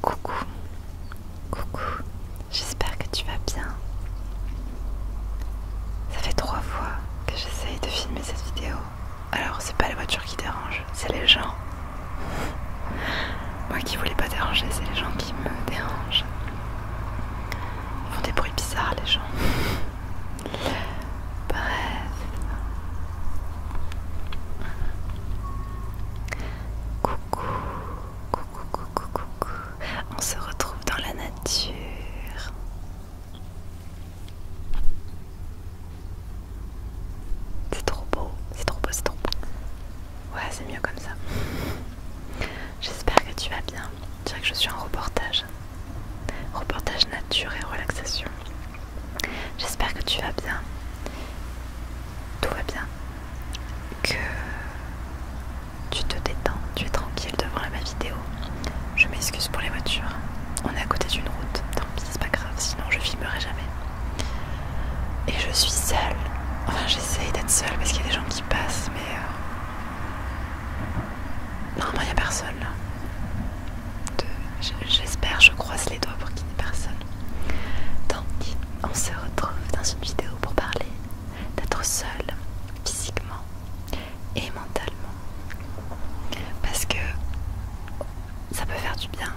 Coucou, coucou, j'espère que tu vas bien. Ça fait trois fois que j'essaye de filmer cette vidéo. Alors c'est pas la voiture qui dérange, c'est les gens. Moi qui voulais pas déranger, c'est les gens qui me dérangent. Ils font des bruits bizarres les gens. Bref. Coucou, coucou, coucou, coucou. On se retrouve dans la nature. C'est trop beau, c'est trop beau, c'est trop beau. Ouais, c'est mieux comme ça. J'espère que tu vas bien. Tu vois que je suis en reportage reportage. nature et relaxation. J'espère que tu vas bien. Tout va bien. Que tu te détends, tu es tranquille devant ma vidéo. Je m'excuse pour les voitures. On est à côté d'une route. Tant pis, c'est pas grave, sinon je filmerai jamais. Et je suis seule. Enfin, j'essaye d'être seule parce qu'il y a des gens qui passent, mais. Euh, normalement, il n'y a personne j'espère, je croise les doigts pour qu'il n'y ait personne. Donc, on se retrouve dans une vidéo pour parler d'être seul physiquement et mentalement. Parce que ça peut faire du bien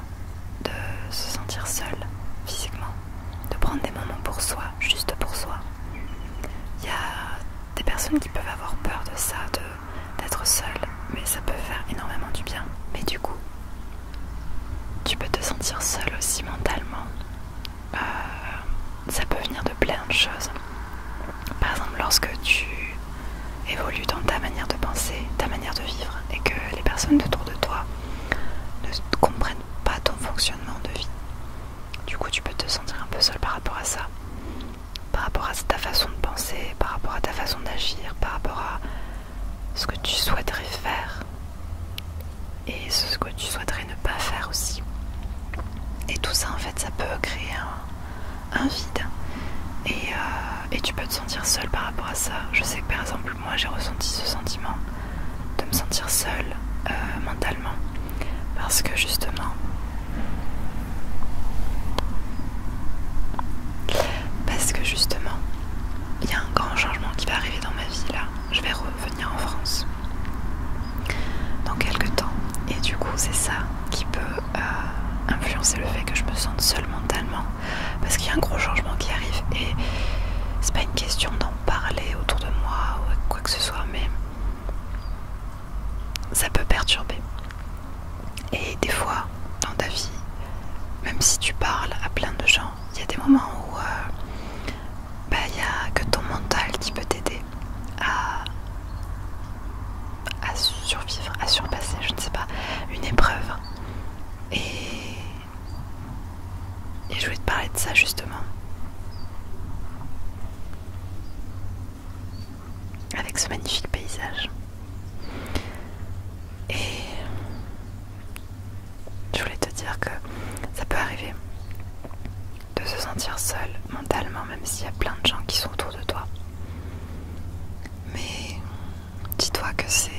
de se sentir seul physiquement, de prendre des moments pour soi, juste pour soi. Il y a des personnes qui peuvent avoir peur de ça, d'être seul, mais ça peut faire énormément du bien. Mais du coup, tu peux te sentir seul aussi mentalement. Euh, ça peut venir de plein de choses. Par exemple, lorsque tu évolues dans ta manière de penser, ta manière de vivre, et que les personnes autour de toi ne comprennent pas ton fonctionnement de vie. Du coup, tu peux te sentir un peu seul par rapport à ça par rapport à ta façon de penser, par rapport à ta façon d'agir, par rapport à ce que tu souhaiterais faire et ce que tu souhaiterais ne pas faire aussi. Et tout ça, en fait, ça peut créer un, vide. Euh, et, tu peux te sentir seul par rapport à ça. Je sais que par exemple, moi, j'ai ressenti ce sentiment de me sentir seul euh, mentalement. Parce que justement, parce que justement, il y a un grand changement qui va arriver dans ma vie là. Je vais revenir en France dans quelques temps. Et du coup, c'est ça qui peut euh, influencer le fait que je me sente seule mentalement. Parce qu'il y a un gros changement qui arrive. Et c'est pas une question d'en parler autour de moi ou quoi que ce soit, mais ça peut perturber. Et des fois, dans ta vie, même si tu parles à plein de gens, il y a des moments où euh, bah, il y n'y a que ton mental qui peut t'aider à, à survivre, à surpasser, je ne sais pas, une épreuve. Et, et je voulais te parler de ça justement avec ce magnifique paysage. Et je voulais te dire que ça peut arriver de se sentir seul mentalement, même s'il y a plein de gens qui sont autour de toi. Mais dis-toi que c'est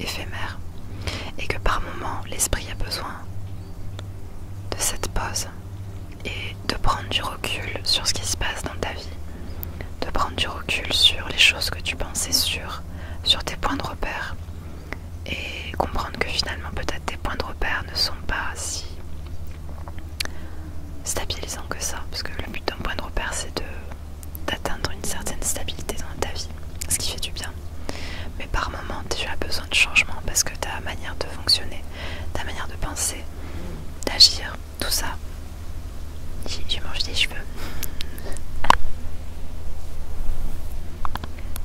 éphémère et que par moment l'esprit a besoin de cette pause et de prendre du recul sur ce qui se passe dans ta vie, de prendre du recul sur les choses que tu pensais sûres, sur tes points de repère, et comprendre que finalement peut-être tes points de repère ne sont pas si stabilisants que ça, parce que le but d'un point de repère c'est de d'atteindre une certaine stabilité dans ta vie, ce qui fait du bien. Mais par moment tu as besoin de changement parce que ta manière de fonctionner ta manière de penser, d'agir, tout ça. Tu manges des cheveux.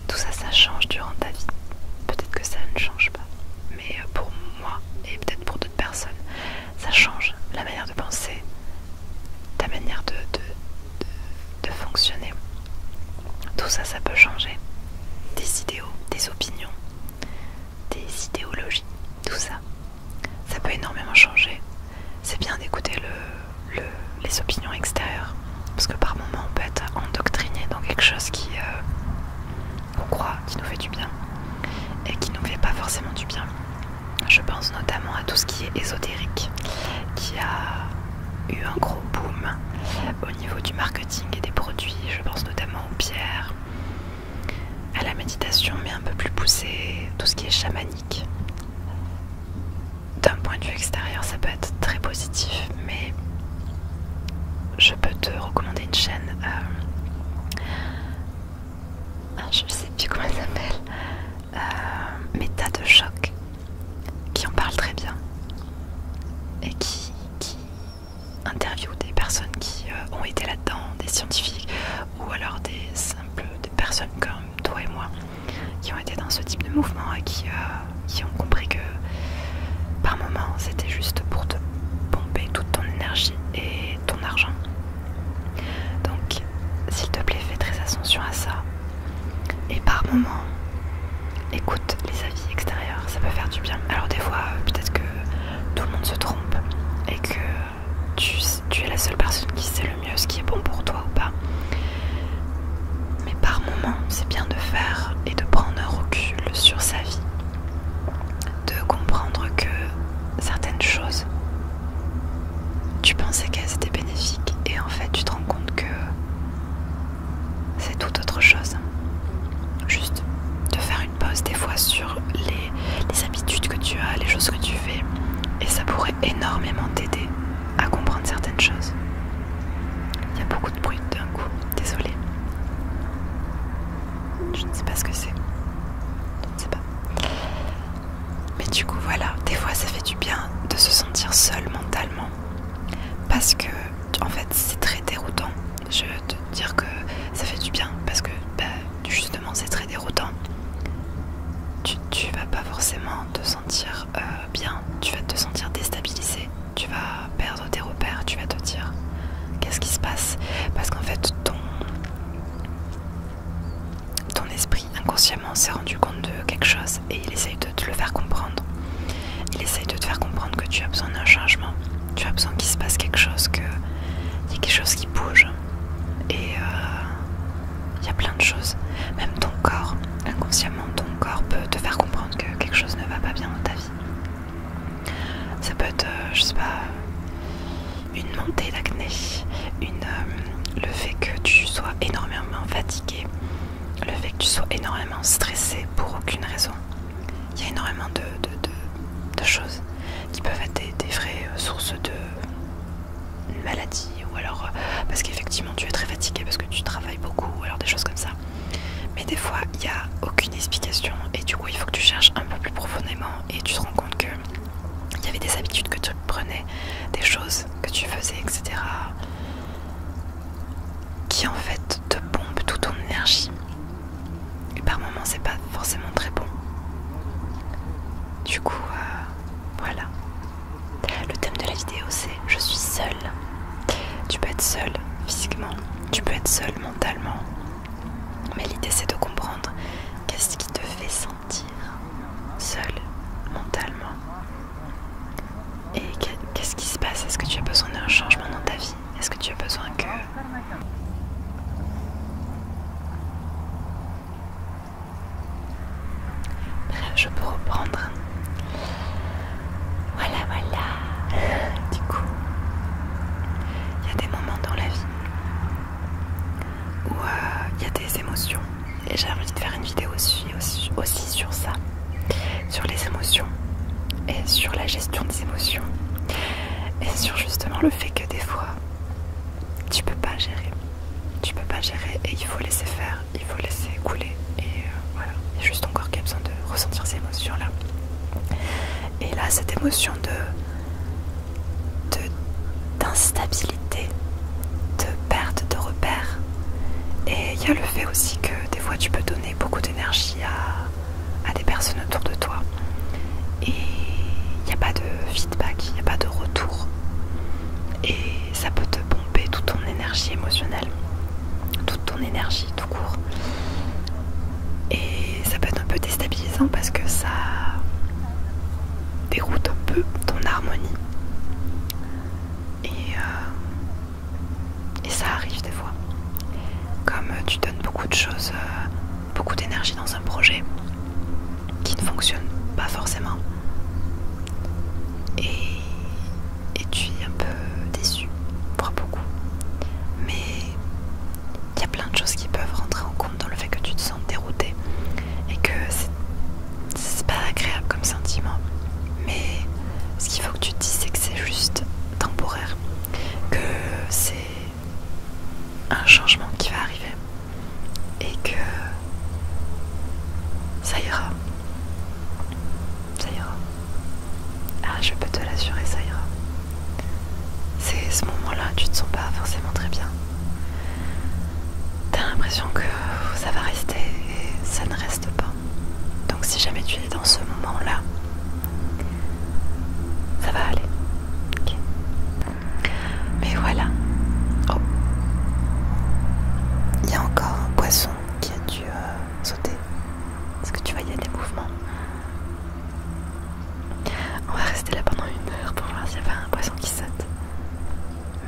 Tout ça, ça change durant ta vie. Peut-être que ça ne change pas. Mais euh, pour moi, et peut-être pour d'autres personnes, ça change la manière de penser, ta manière de, fonctionner. Tout ça, ça peut changer. des idéaux, des opinions des idéologies, tout ça. Ça peut énormément changer. C'est bien d'écouter les opinions extérieures, parce que par moment on peut être endoctriné dans quelque chose qui euh, on croit, qui nous fait du bien, et qui nous fait pas forcément du bien. Je pense notamment à tout ce qui est ésotérique, qui a eu un gros boom au niveau du marketing et des produits. Je pense notamment aux pierres, à la méditation, mais un peu plus poussée, tout ce qui est chamanique. D'un point de vue extérieur, ça peut être très positif, mais je peux te recommander une chaîne. Euh, ah, je sais plus comment elle s'appelle. Euh, Méta de choc, qui en parle très bien et qui, qui interview des personnes qui euh, ont été là-dedans, des scientifiques ou alors des simples des personnes comme toi et moi qui ont été dans ce type de mouvement et qui, euh, ont compris que par moment c'était juste pour te pomper toute ton énergie et ton argent. Donc s'il te plaît fais très attention à ça et par moment écoute les avis extérieurs, ça peut faire du bien. Alors des fois euh, peut-être que tout le monde se trompe et que tu, es la seule personne qui sait le mieux ce qui est bon pour toi ou pas. Mais par moments, c'est bien de faire et de prendre un recul sur sa vie, de comprendre que certaines choses, tu pensais qu'elles étaient bénéfiques et en fait tu te rends compte que c'est tout autre chose. Juste de faire pose des fois sur les, habitudes que tu as, les choses que tu fais, et ça pourrait énormément t'aider à comprendre certaines choses. Il y a beaucoup de bruit d'un coup, désolé. Je ne sais pas ce que c'est. Je ne sais pas. Mais du coup voilà, des fois ça fait du bien de se sentir seul mentalement. Parce que en fait c'est très déroutant je vais te dire que ça fait du bien parce que bah, justement c'est très déroutant. Tu, vas pas forcément te sentir euh, bien, tu vas te sentir déstabilisé, tu vas perdre tes repères, tu vas te dire qu'est-ce qui se passe parce qu'en fait ton, ton esprit inconsciemment s'est rendu compte de quelque chose et il essaye de te le faire comprendre. Il essaye de te faire comprendre que tu as besoin d'un changement. Tu as besoin qu'il se passe quelque chose, qu'il y ait quelque chose qui bouge. Et euh, il y a plein de choses. Même ton corps, inconsciemment, ton corps peut te faire comprendre que quelque chose ne va pas bien dans ta vie. Ça peut être, euh, je sais pas, une montée d'acné, euh, le fait que tu sois énormément fatigué, le fait que tu sois énormément stressé pour aucune raison, il y a énormément de, choses qui peuvent être des, vraies euh, sources de maladies ou alors euh, parce qu'effectivement tu es très fatigué parce que tu travailles beaucoup ou alors des choses comme ça. Mais des fois il n'y a aucune explication et du coup il faut que tu cherches un peu plus profondément et tu te rends compte que il y avait des habitudes que tu prenais, des choses que tu faisais, etc qui en fait te pompe toute ton énergie. Et par moments, c'est pas forcément très bon. Du coup, euh, voilà. Le thème de la vidéo, c'est je suis seule. Tu peux être seule physiquement, tu peux être seule mentalement. Mais l'idée, c'est de comprendre qu'est-ce qui te fait sentir seule mentalement. Et qu'est-ce qui se passe Est-ce que tu as besoin d'un changement dans ta vie Est-ce que tu as besoin que... je peux reprendre. Voilà, voilà. Du coup, il y a des moments dans la vie où euh, il y a des émotions. Et j'ai envie de faire une vidéo aussi sur ça sur les émotions et sur la gestion des émotions et sur justement le fait que des fois tu peux pas gérer tu peux pas gérer et il faut laisser faire il faut laisser couler et euh, voilà il y a juste encore qu'il a besoin de ressentir ces émotions là et là cette émotion de d'instabilité de, perte de repères et il y a le fait aussi que des fois tu peux donner beaucoup d'énergie à, des personnes autour de toi. Et il n'y a pas de feedback, il n'y a pas de retour. Et ça peut te pomper toute ton énergie émotionnelle, toute ton énergie tout court. Et ça peut être un peu déstabilisant parce que ça déroute un peu ton harmonie. Et euh, et ça arrive des fois. Comme euh, tu donnes beaucoup de choses, euh, beaucoup d'énergie dans un projet qui ne fonctionne pas forcément. Et, tu es un peu déçu, voire beaucoup. Mais il y a plein de choses qui peuvent rentrer en compte dans le fait que tu te sens dérouté et que c'est pas agréable comme sentiment. Mais ce qu'il faut que tu te dises, c'est que c'est juste temporaire, que c'est un changement qui va arriver et que ça ira. Ça ira. Ah, je peux te l'assurer, ça ira. C'est ce moment-là, tu te sens pas forcément très bien. T'as l'impression que ça va rester et ça ne reste pas. Donc si jamais tu es dans ce moment-là, ça va aller. Mais voilà. Oh. Il y a encore un poisson qui a dû euh, sauter. Est-ce que tu vois, il y a des mouvements On va rester là pendant une heure pour voir s'il n'y a pas un poisson qui saute.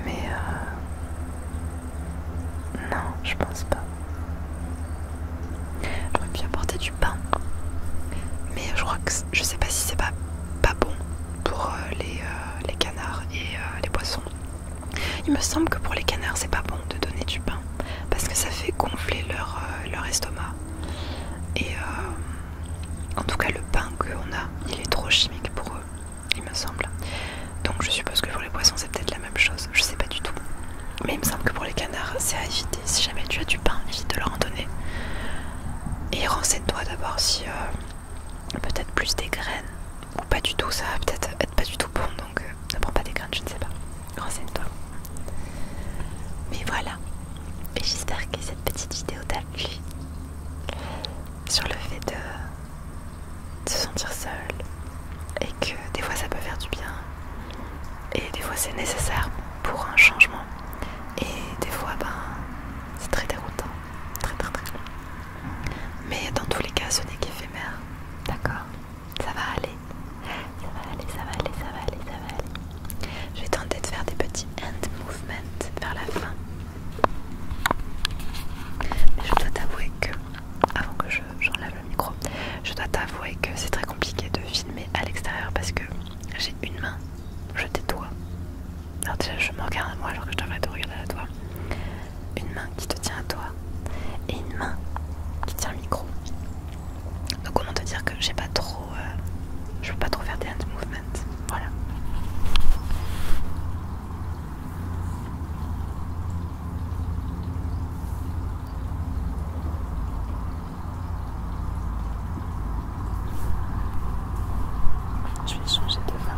Mais... Euh... Non, je pense pas. J'aurais pu apporter du pain. Mais je crois que je sais pas si c'est pas, pas bon pour euh, euh, les, canards et euh, les poissons. Il me semble que pour les canards, c'est pas bon de donner du pain parce que ça fait gonfler leur, estomac. Et en tout cas, le pain qu'on a, il est trop chimique pour eux, il me semble. Donc je suppose que pour les poissons c'est peut-être la même chose, je sais pas du tout. Mais il me semble que pour les canards c'est à éviter. Si jamais tu as du pain, évite de leur en donner. Et renseigne-toi d'abord si euh, peut-être plus des graines ou pas du tout, ça va peut-être être pas du tout bon donc euh, ne prends pas des graines, je ne sais pas. Renseigne-toi. Mais voilà, et j'espère que cette petite vidéo t'a plu sur le fait de de se sentir seul et que des fois ça peut faire du bien et des fois c'est nécessaire pour un changement et des fois ben c'est très déroutant très très très mais dans tous les cas ce n'est qu'éphémère d'accord ça va aller ça va aller ça va aller ça va aller je vais tenter de faire des petits end movements vers la fin mais je dois t'avouer que avant que je j'enlève le micro. Je dois t'avouer que c'est très compliqué de filmer à l'extérieur parce que j'ai une main, je toi. Alors déjà je me regarde à moi alors que je devrais te regarder à toi. Une main qui te tient à toi et une main qui tient le micro. Donc comment te dire que j'ai pas trop... Euh, je peux pas trop faire des hand movements. Voilà. Je vais changer de main.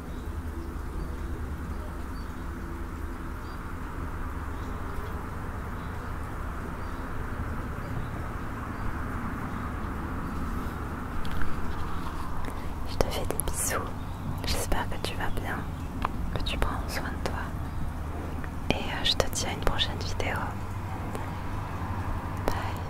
Je te fais des bisous. J'espère que tu vas bien, que tu prends soin de toi. Et euh, je te dis à une prochaine vidéo. Bye.